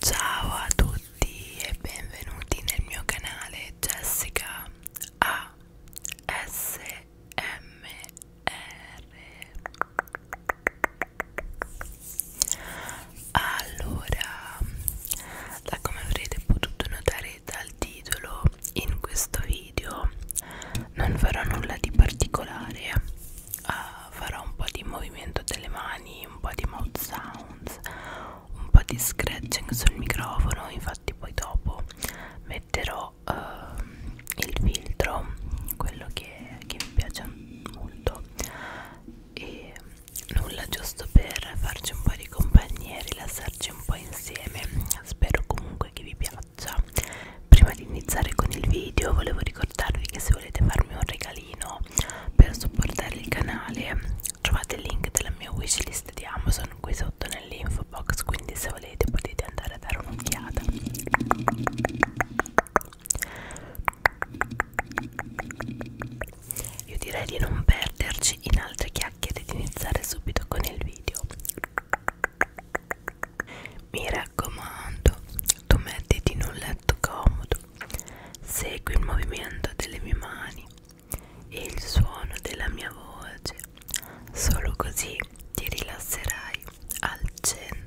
Ciao a tutti e benvenuti nel mio canale Jessica ASMR Allora, da come avrete potuto notare vedere dal titolo in questo video non farò nulla di particolare uh, farò un po' di movimento delle mani un po' di mouth sounds un po' di scratching sul microfono infatti poi dopo metterò uh, il filtro quello che, che mi piace molto e nulla giusto per farci un po' di compagnia e rilassarci un po' insieme spero comunque che vi piaccia prima di iniziare con il video volevo ricordarvi che se volete farmi un regalino per supportare il canale trovate il link della mia wishlist di Amazon qui sotto nell'info box quindi se volete potete andare a dare un'occhiata io direi di non perderci in altre chiacchiere e di iniziare subito con il video mi raccomando tu mettiti in un letto comodo segui il movimento delle mie mani e il suono della mia voce solo così ti rilasserai al 100%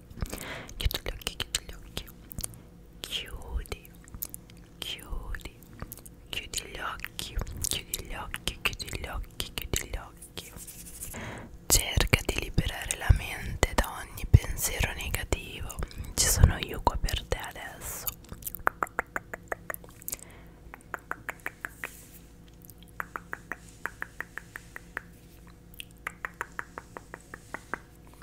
chiudi gli occhi, chiudi gli occhi chiudi chiudi chiudi gli occhi chiudi gli occhi chiudi gli occhi chiudi gli occhi cerca di liberare la mente da ogni pensiero negativo ci sono io qua per te adesso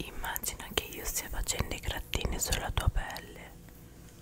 Immagina che io stia facendo i grattini sulla tua pelle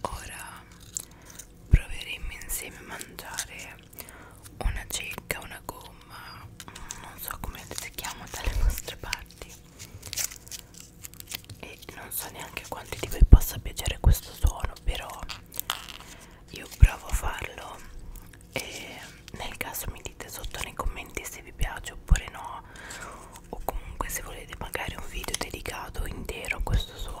Ora proveremo insieme a mangiare una cicca, una gomma, non so come si chiama dalle vostre parti e non so neanche a quanti di voi possa piacere questo suono però io provo a farlo e nel caso mi dite sotto nei commenti se vi piace oppure no o comunque se volete magari un video dedicato intero a questo suono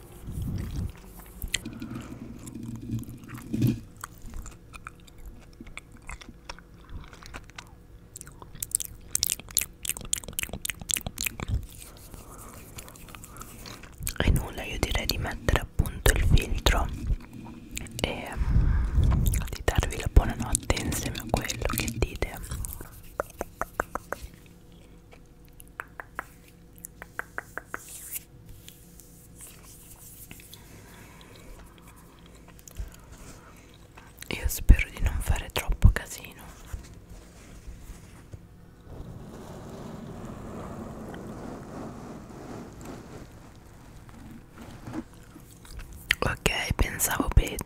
e nulla io direi di mettere appunto il filtro e mm, di darvi la buonanotte insieme a quello che dite io spero di non fare troppo casino. Ok, pensavo peggio.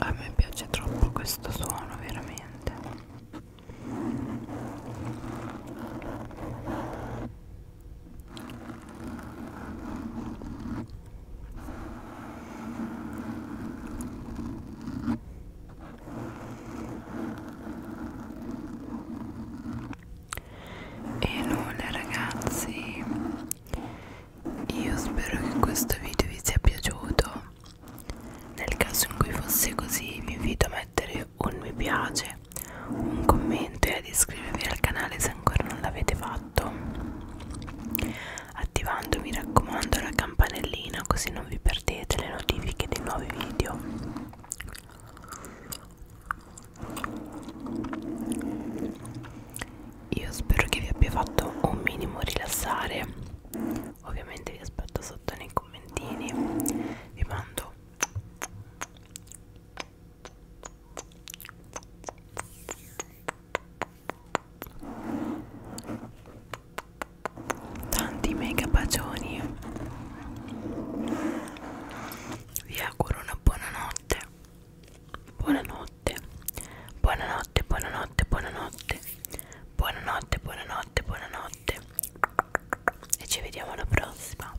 A me piace troppo questo suono, veramente. E nulla ragazzi, io spero che questo video vi sia piaciuto. Nel caso in cui fosse così vi invito a mettere un mi piace, un commento e ad iscrivervi al canale se ancora non l'avete fatto fatto attivando mi raccomando la campanellina così non vi perdete le notifiche dei nuovi video io spero che vi abbia fatto un minimo rilassare ovviamente vi aspetto sotto nei commentini vi mando tanti mega bacioni vi auguro una buonanotte buonanotte buonanotte buonanotte buonanotte buonanotte buonanotte buonanotte e ci vediamo alla prossima